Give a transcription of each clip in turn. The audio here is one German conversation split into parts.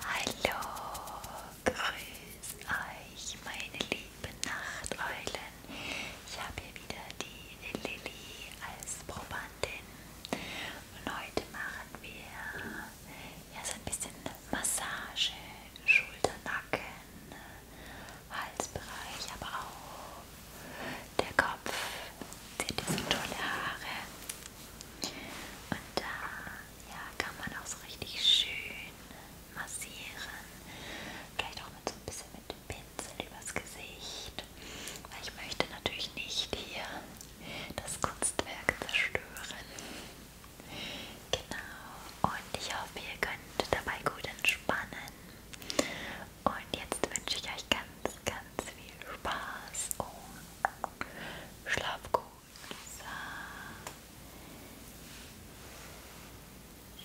Hallo, grüß euch, meine lieben Nachteulen. Ich habe hier wieder die Lilly als Probandin und heute machen wir ja so ein bisschen Massage, Schulter, Nacken, Halsbereich, aber auch der Kopf. Seht ihr so tolle Haare? Und da ja, kann man auch so richtig schön massieren. Vielleicht auch mit so ein bisschen mit dem Pinsel übers Gesicht. Weil ich möchte natürlich nicht hier das Kunstwerk zerstören. Genau. Und ich hoffe, ihr könnt dabei gut entspannen. Und jetzt wünsche ich euch ganz, ganz viel Spaß. Oh. Schlaf gut. So.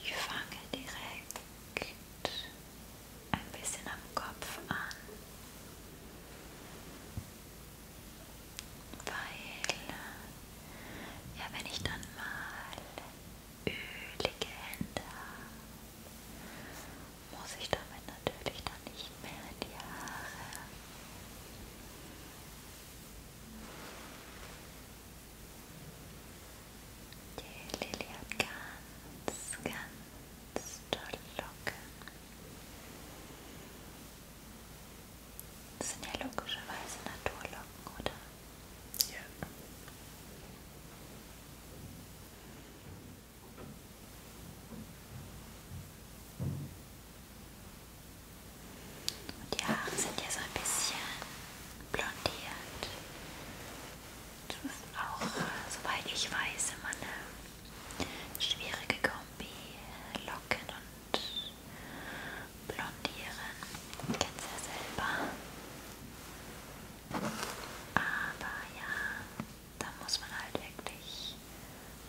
Ich fange direkt ein bisschen am Kopf an, weil ja, wenn ich dann mal ölige Hände habe, muss ich damit natürlich dann nicht mehr in die Haare. Die Lilly hat ganz, ganz tolle Locken. Das sind ja logischerweise Naturlocken, oder? Ja. Und die Haare sind ja so ein bisschen blondiert. Das ist auch, soweit ich weiß, immer eine schwierige Kombi. Locken und blondieren. Kennst ja selber. Aber ja, da muss man halt wirklich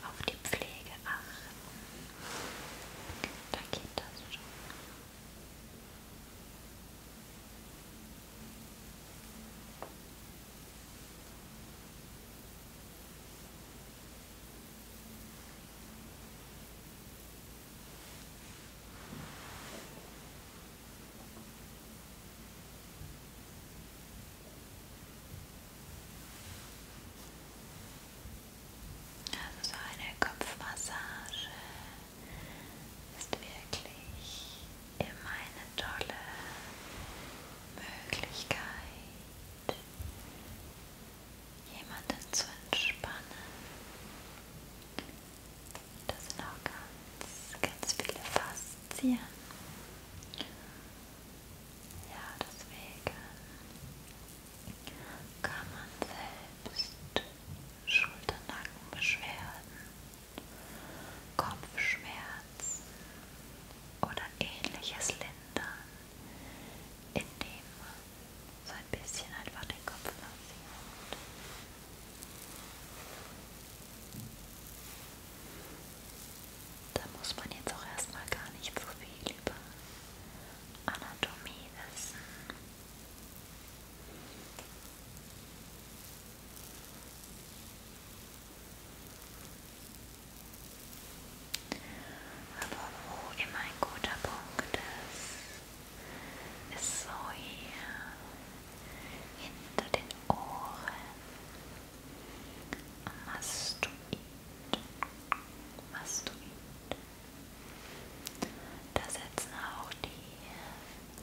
auf die Pflege achten. Da geht das schon. Also so eine Kopfmassage ist wirklich immer eine tolle Möglichkeit, jemanden zu entspannen. Da sind auch ganz, ganz viele Faszien. Ja, deswegen kann man selbst Schulternackenbeschwerden, Kopfschmerzen oder ähnliches lindern, indem man so ein bisschen einfach den Kopf massiert. Da muss man jetzt auch erstmal gar nicht so viel über Anatomie wissen. Aber wo immer ein guter Punkt ist, ist so hier hinter den Ohren, Mastoid, Mastoid. Da setzen auch die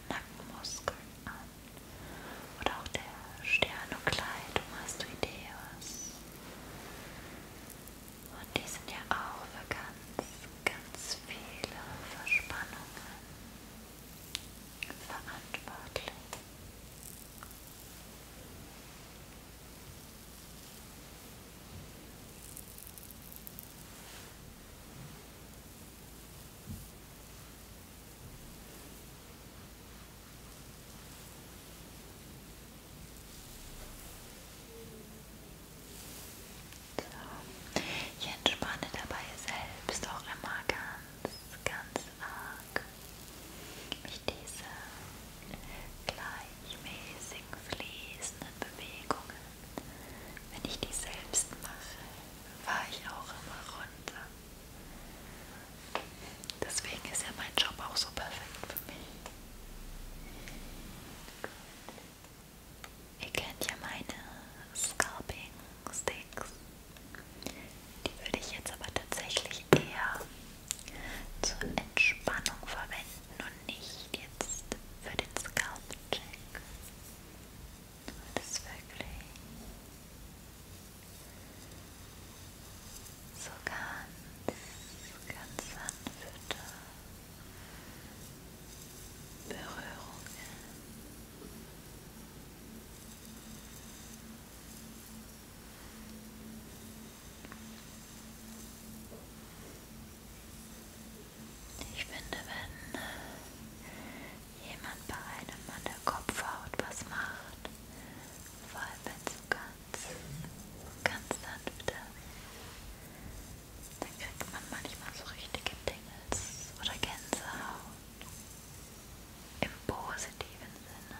Nackenmuskeln an oder auch der Sternokleid, Mastoideus. Und die sind ja auch für ganz, ganz viele Verspannungen verantwortlich. So. Ich entspanne dabei selbst auch immer ganz, ganz arg mich diese gleichmäßigen fließenden Bewegungen, wenn ich die selbst mache, war ich auch immer runter. Deswegen ist ja mein Job auch so perfekt für mich. Gut. Ihr kennt ja meine Scalping Sticks. Die würde ich jetzt aber tatsächlich eher zur Entspannung verwenden und nicht jetzt für den Scalp-Check. Das ist wirklich so ganz, ganz sanfte Berührungen. Ich finde, wenn äh, jemand bei einem an der Kopfhaut was macht, vor allem wenn es so ganz, ganz sanft ist, äh, dann kriegt man manchmal so richtige Tingels oder Gänsehaut. Im positiven Sinne.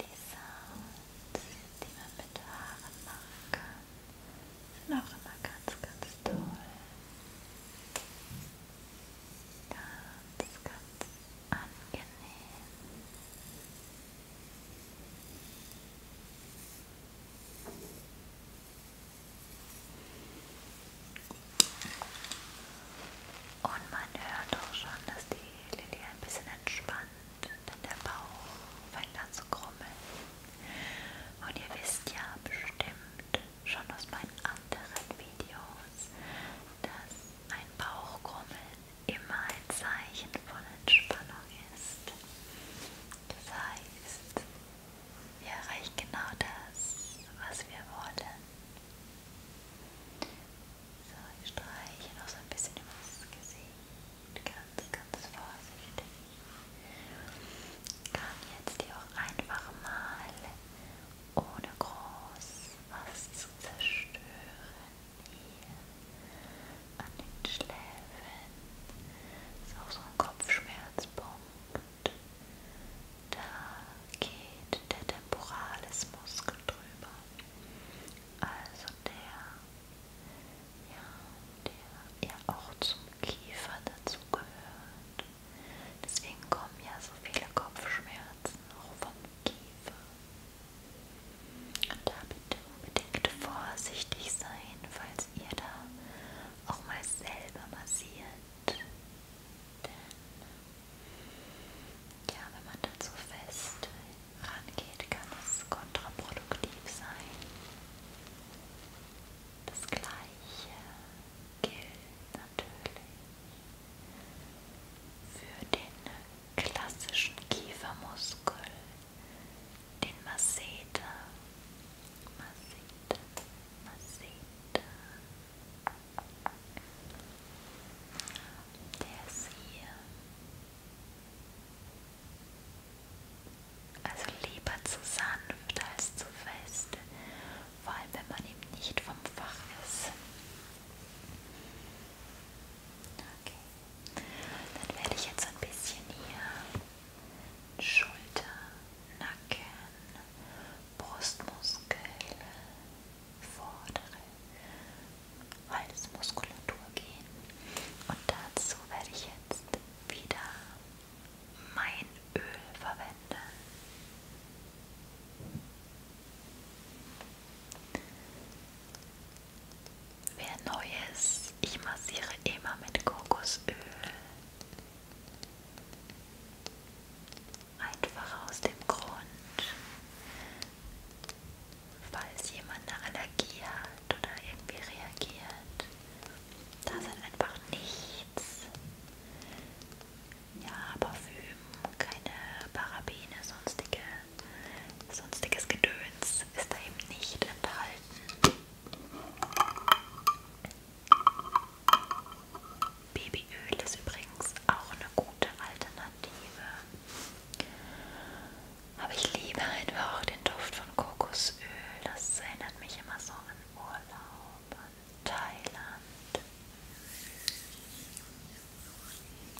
Die Sounds, die man mit Haaren machen kann, immer ganz, ganz toll. Ganz, ganz angenehm. Und man hört auch schon, dass die Lilly ein bisschen entspannt, denn der Bauch fängt an zu krummeln. Und ihr wisst ja bestimmt schon aus meinen anderen Videos, dass ein Bauchkrummeln immer ein Zeichen von Entspannung ist. Das heißt, wir erreichen genau das, was wir wollen. So, ich streiche noch so ein bisschen über das Gesicht, ganz, ganz vorsichtig. Kann jetzt hier auch einfach mal ohne groß was zu zerstören hier an den Schläfen. Ist auch so ein Kopfschmerzpunkt da geht der Temporalismuskel drüber. Also der, ja, der ja auch zum Kiefer dazugehört. Deswegen kommen ja so viele Kopfschmerzen auch vom Kiefer. Und da bitte unbedingt vorsichtig sein, falls ihr da auch mal selber massiert. Denn ja, wenn man dann so fest rangeht, kann es kontraproduktiv sein. Das gleiche gilt natürlich für den klassischen Kiefermuskel, den Masseter. Masseter, Masseter, der ist hier. Also lieber zu sanft als zu fest, vor allem wenn man eben nicht vom Fach ist. Okay, dann werde ich jetzt ein bisschen hier Schulter Nacken, Brustmuskel, vordere Halsmuskulatur gehen. Und dazu werde ich jetzt wieder mein Öl verwenden. Wer neu ist, ich massiere immer mit Kokosöl. Einfach aus dem Grund, falls jemand eine Allergie hat oder irgendwie reagiert, da sind halt einfach nichts. Ja, Parfüm, keine Parabene, sonstige, sonstiges Gedöns ist da eben nicht enthalten. Babyöl ist übrigens auch eine gute Alternative. Aber ich liebe einfach auch den Duft von Kokosöl. Das erinnert mich immer so an Urlaub, an Thailand.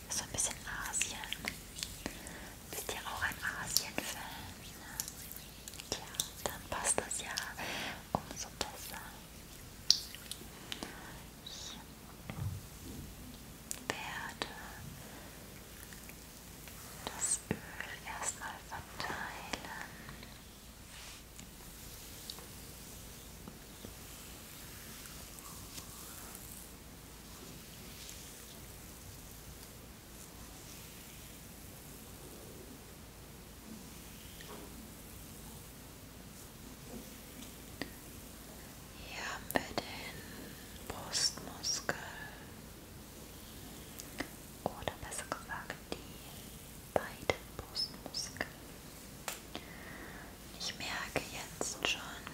So ein bisschen Asien. Bist ja auch ein Asien-Fan. Ne? Ja, dann passt das ja umso besser. Ich werde das Öl erstmal verteilen. So. Hier haben wir den Brustmuskel oder besser gesagt die beiden Brustmuskeln. Ich merke jetzt schon,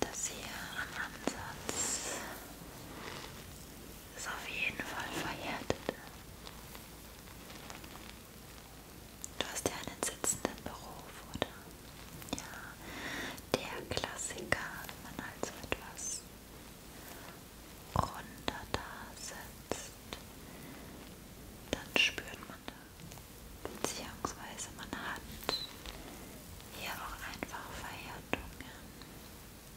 dass hier am Ansatz ist auf jeden Fall verhärtet. Du hast ja einen sitzenden Beruf, oder? Ja, der Klassiker, wenn man also etwas runter da sitzt, dann spürt man da, beziehungsweise man hat hier auch einfach Verhärtungen.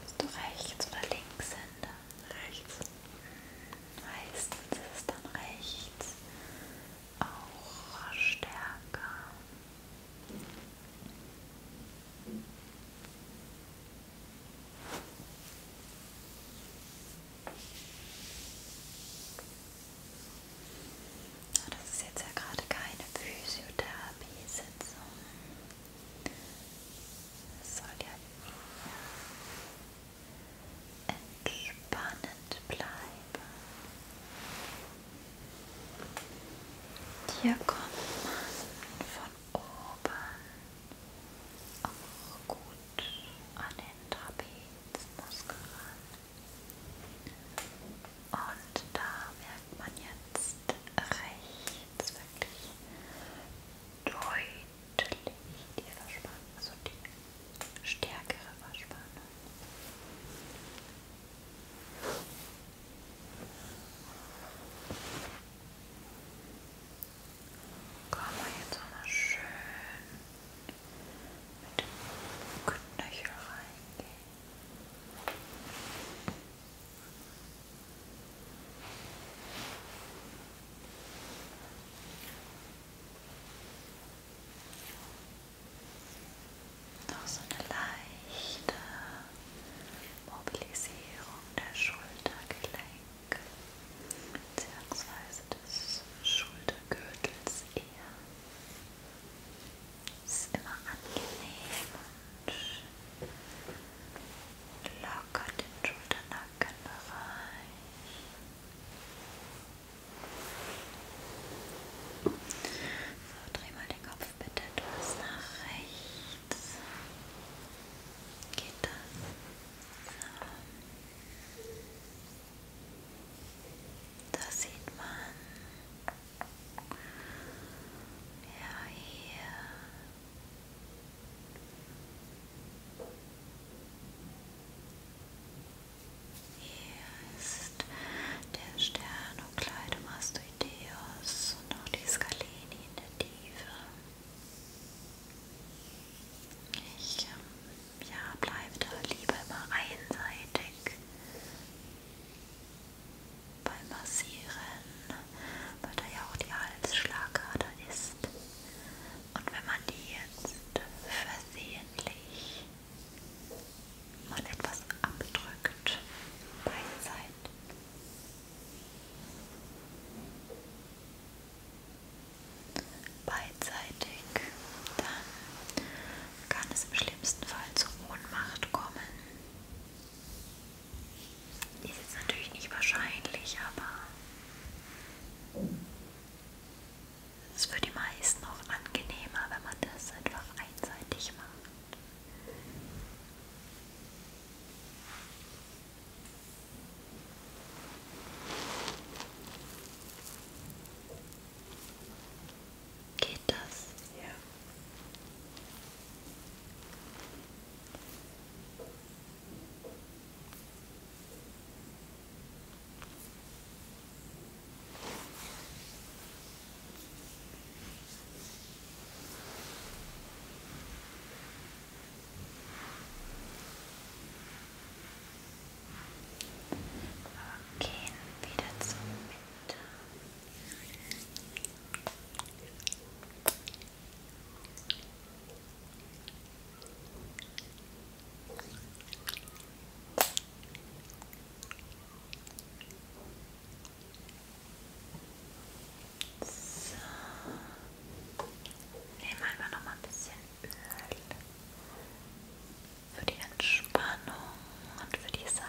Bist du rechts oder links hinter? Rechts. Meistens ist es dann rechts auch stärker. Ah, das ist jetzt ja gerade keine Physiotherapie-Sitzung soll ja eher entspannend bleiben. Hier kommt man von oben auch gut an den Trapezmuskel ran. Und da merkt man jetzt, rechts wirklich deutlich die Verspanne, also die stärkere Verspanne. Kommen wir jetzt nochmal schön mit dem Knöchel reingehen. Noch so eine leichte Mobilisierung der Schultergelenk bzw. des Schultergürtels eher. Es ist immer angenehm und locker den Schulternackenbereich. So, dreh mal den Kopf bitte etwas nach rechts. Geht das? So. Da sieht man ja, hier. Hier ist der Stern und Kleidung Astoideos und auch die Skalini in der Tiefe. Ich ähm, ja, bleibe da lieber immer einseitig beim Massieren, weil da ja auch die Halsschlagader ist. Und wenn man die jetzt versehentlich mal etwas abdrückt, beidseitig, beidseitig, dann kann es im schlimmsten Fall zur Ohnmacht kommen. Ist jetzt natürlich nicht wahrscheinlich, aber es ist für die meisten auch angenehmer, wenn man das einfach einseitig macht. Geht das? Ja. Wir gehen wieder zum Winter. So. Nehmen wir noch mal ein bisschen Öl für die Entspannung und für die Sound.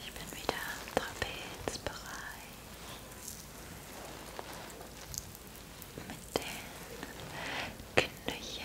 Ich bin wieder im Trapezbereich mit den Knöcheln.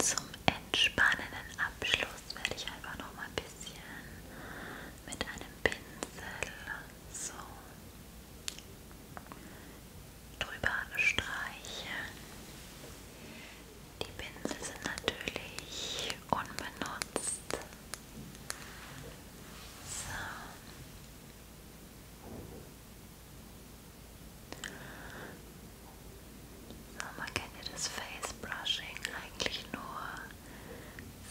So, zum entspannenden Abschluss werde ich einfach noch mal ein bisschen mit einem Pinsel so drüber streichen. Die Pinsel sind natürlich unbenutzt. So. So, man kennt ja das Face Brushing eigentlich nur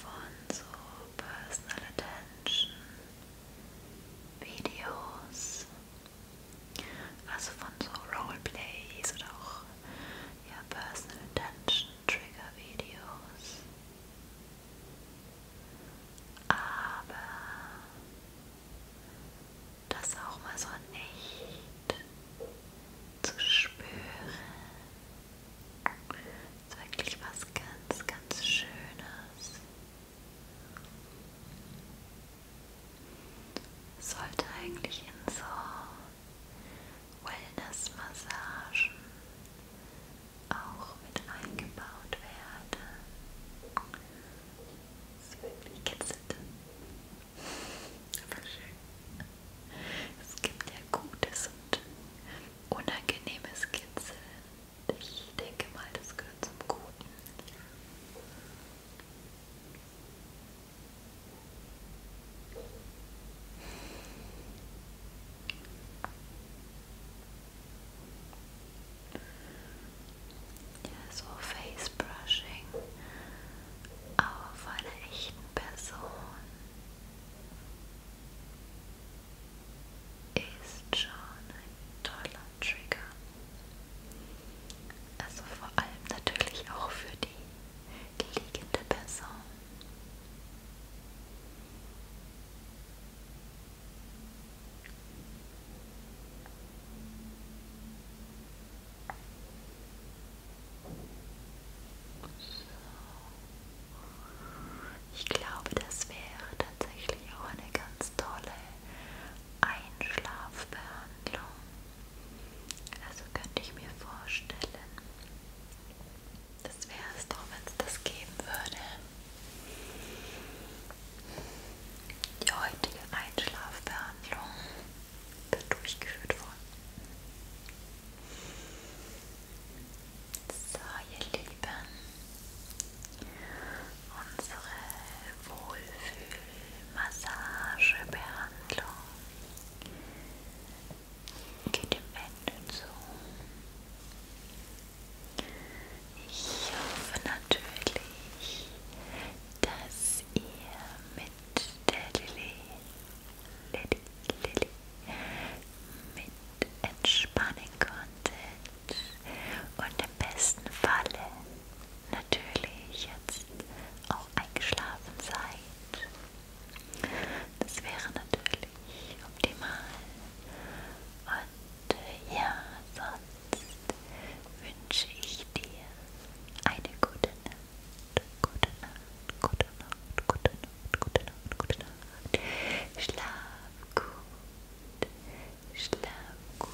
von so Personal Attention Videos. Also von so Roleplays oder auch ja, Personal Attention Trigger-Videos. Aber das auch mal so nicht zu spüren, ist wirklich was ganz, ganz Schönes. Sollte eigentlich in so Wellnessmassagen auch mit eingebaut werden. Das ist wirklich kitzelt. Aber schön. Es gibt ja gutes und unangenehmes Kitzeln. Ich denke mal, das gehört zum Guten. Ja, so Facebrushing, aber von einer echten Person ist schon ein toller Trigger. Also vor allem natürlich auch für die liegende Person. So. Ich glaube, das wäre tatsächlich auch eine ganz tolle Einschlafbehandlung. Also könnte ich mir vorstellen, das wäre es doch, wenn es das geben würde. Die heutige Einschlafbehandlung wird durchgeführt worden. So, ihr Lieben, unsere Wohlfühlmassagebehandlung Geht dem Ende zu. Ich hoffe natürlich, dass ihr mit der Lilly, Lilly, Lilly mit entspannen konntet und im besten Falle natürlich jetzt auch eingeschlafen seid. Das wäre natürlich optimal. Und äh, ja, sonst wünsche ich dir eine gute Nacht, gute Nacht, gute Nacht, gute Nacht, gute Nacht, gute Nacht. Schlaf gut, schlaf gut.